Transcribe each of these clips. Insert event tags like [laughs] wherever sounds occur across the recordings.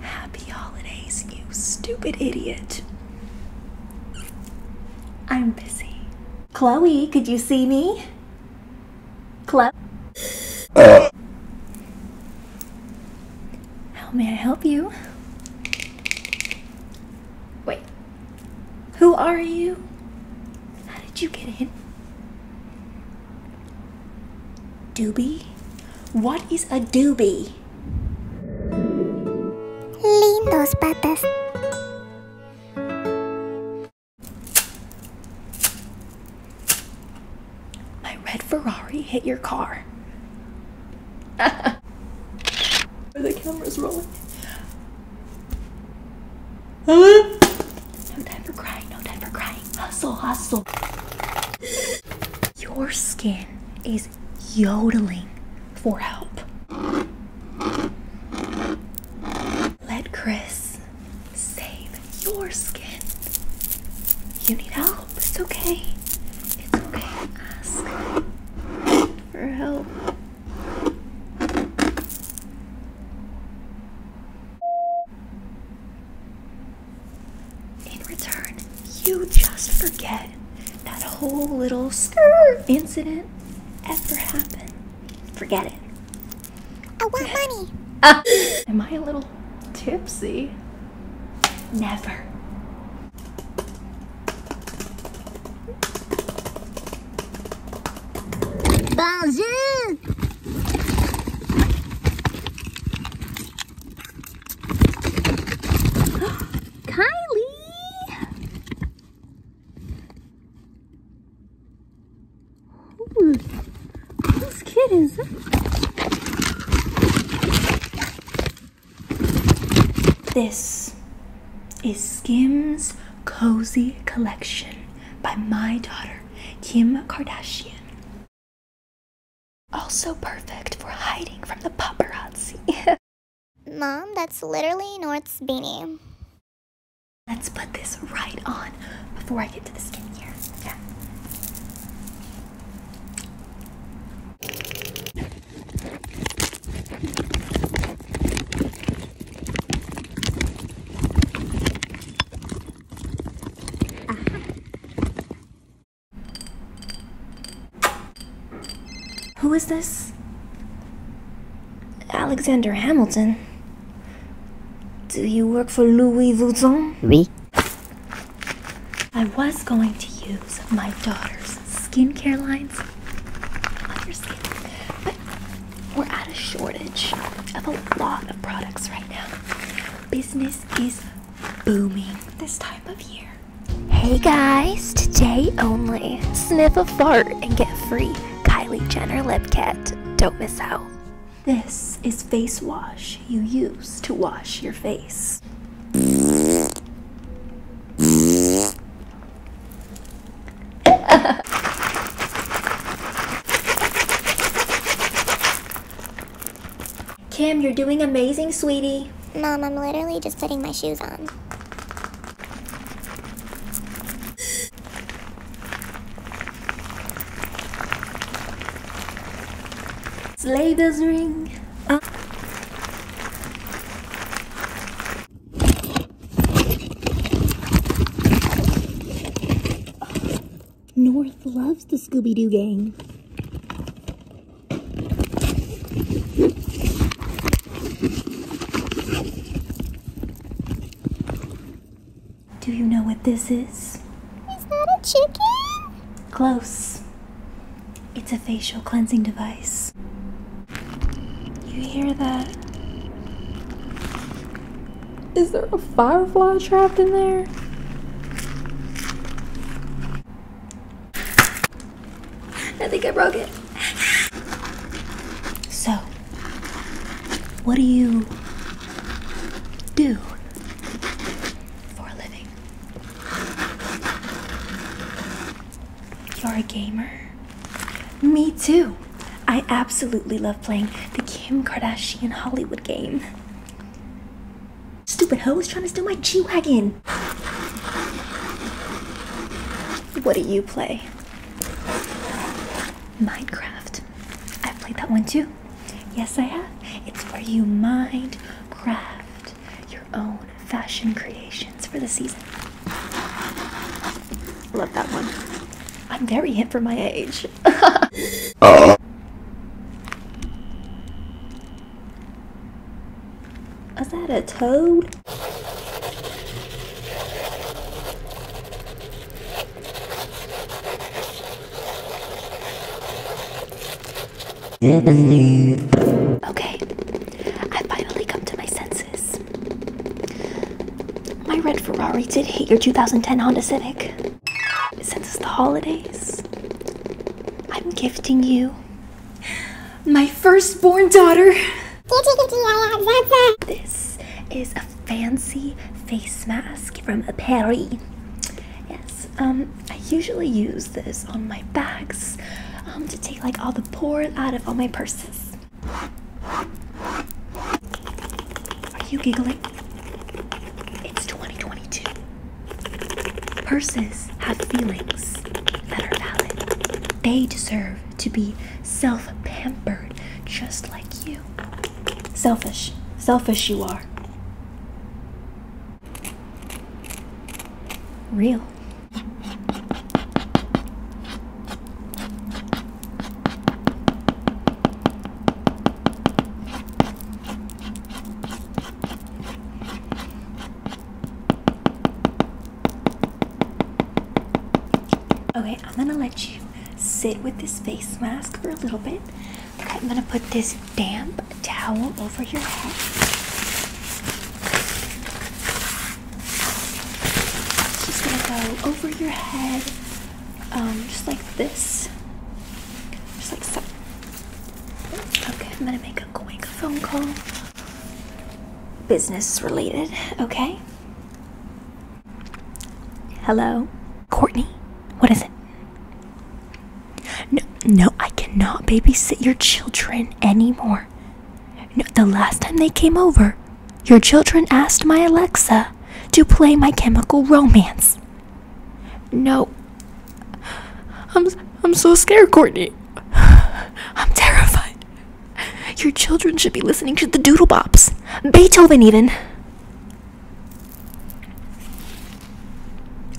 Happy holidays, you stupid idiot. I'm busy. Chloe, could you see me? Club. Uh. How may I help you? Wait. Who are you? How did you get in? Doobie? What is a doobie? Lindos patas. My red Ferrari hit your car. [laughs] the camera's rolling. Huh? No time for crying, no time for crying. Hustle, hustle. Your skin is yodeling for help. Let Chris save your skin. You need help. It's okay. It's okay. Ask for help. In return, you just forget that whole little stir incident ever happened. Forget it. I want money. [laughs] am I a little tipsy? Never. Bonjour. [gasps] Kylie. Who's, whose kid is This is Skim's Cozy Collection by my daughter, Kim Kardashian. Also perfect for hiding from the paparazzi. [laughs] Mom, that's literally North's beanie. Let's put this right on before I get to the skincare. Okay. Uh Who is this? Alexander Hamilton. Do you work for Louis Vuitton? Oui. I was going to use my daughter's skincare lines on your skin, but we're at a shortage of a lot of products right now. Business is booming this time of year. Hey guys, today only, sniff a fart and get free Kylie Jenner lip kit. Don't miss out. This is face wash you use to wash your face. [laughs] Kim, you're doing amazing, sweetie. Mom, I'm literally just putting my shoes on. Slater's ring. North loves the Scooby-Doo gang. Do you know what this is? Is that a chicken? Close. It's a facial cleansing device. You hear that? Is there a firefly trapped in there? I think I broke it. So, what do you do? for a living. You're a gamer? Me too. I absolutely love playing the Kim Kardashian Hollywood game. Stupid hoe is trying to steal my G Wagon. What do you play? Minecraft. I've played that one too. Yes, I have. It's where you mind craft your own fashion creations for the season. Love that one. I'm very hip for my age. uh. [laughs] Is that a toad? Okay, I finally come to my senses. My red Ferrari did hit your 2010 Honda Civic. Since it's the holidays, I'm gifting you my firstborn daughter. Uh, this is a fancy face mask from a Yes, um, I usually use this on my bags um, to take like all the pores out of all my purses. Are you giggling? It's 2022. Purses have feelings that are valid. They deserve to be self pampered just like you. Selfish. Selfish you are. Real. Okay, I'm gonna let you sit with this face mask for a little bit I'm gonna put this damp towel over your head. It's just gonna go over your head, um, just like this. Just like so. Okay, I'm gonna make a quick phone call. Business related, okay? Hello? Courtney, what is it? No, no, I cannot babysit your children anymore. the last time they came over, your children asked my Alexa to play my chemical romance. No. I'm I'm so scared, Courtney. [sighs] I'm terrified. Your children should be listening to the Doodle Bops. Beethoven even.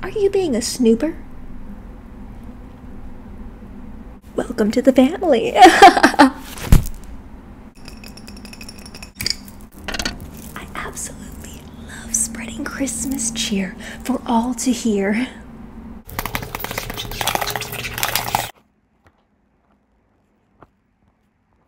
Are you being a snooper? Welcome to the family. [laughs] I absolutely love spreading Christmas cheer for all to hear.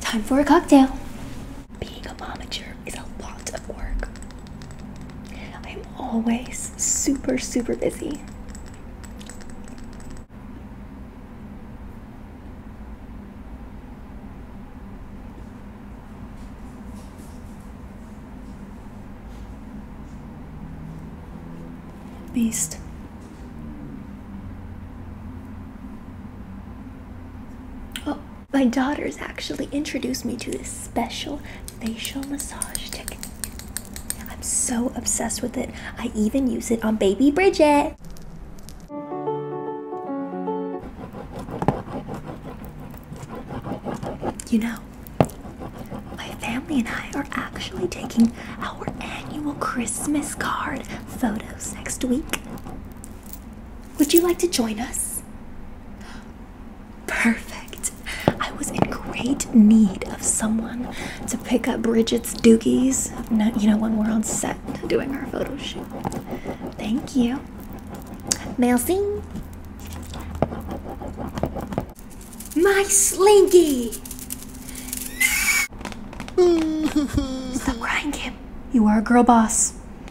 Time for a cocktail. Being a momager is a lot of work. I'm always super, super busy. Beast. Uh my daughters actually introduced me to this special facial massage technique. I'm so obsessed with it. I even use it on baby Bridget. You know, my family and I are actually taking our annual Christmas card photos next week. Would you like to join us? Perfect. I was in great need of someone to pick up Bridget's doogies, you know, when we're on set doing our photo shoot. Thank you. Merci. My slinky! [laughs] Stop crying, Kim. You are a girl boss.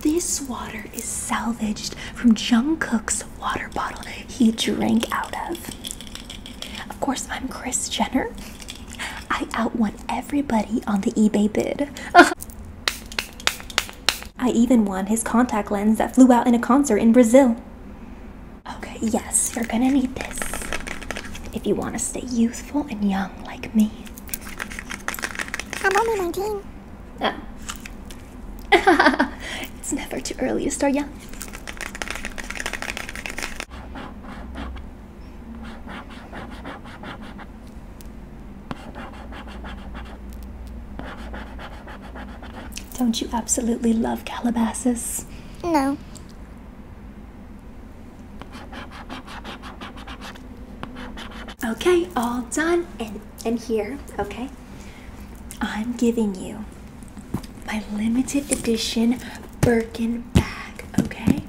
This water is salvaged from Jungkook's water bottle he drank out of. Of course, I'm Chris Jenner. I outwon everybody on the eBay bid. [laughs] I even won his contact lens that flew out in a concert in Brazil. Okay, yes, you're gonna need this if you want to stay youthful and young like me? I'm only 19. Oh. [laughs] it's never too early to start young. Don't you absolutely love Calabasas? No. Okay, all done and, and here, okay? I'm giving you my limited edition Birkin bag, okay?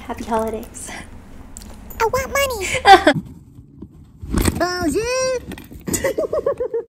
Happy holidays. I want money. [laughs] Bonjour. [laughs]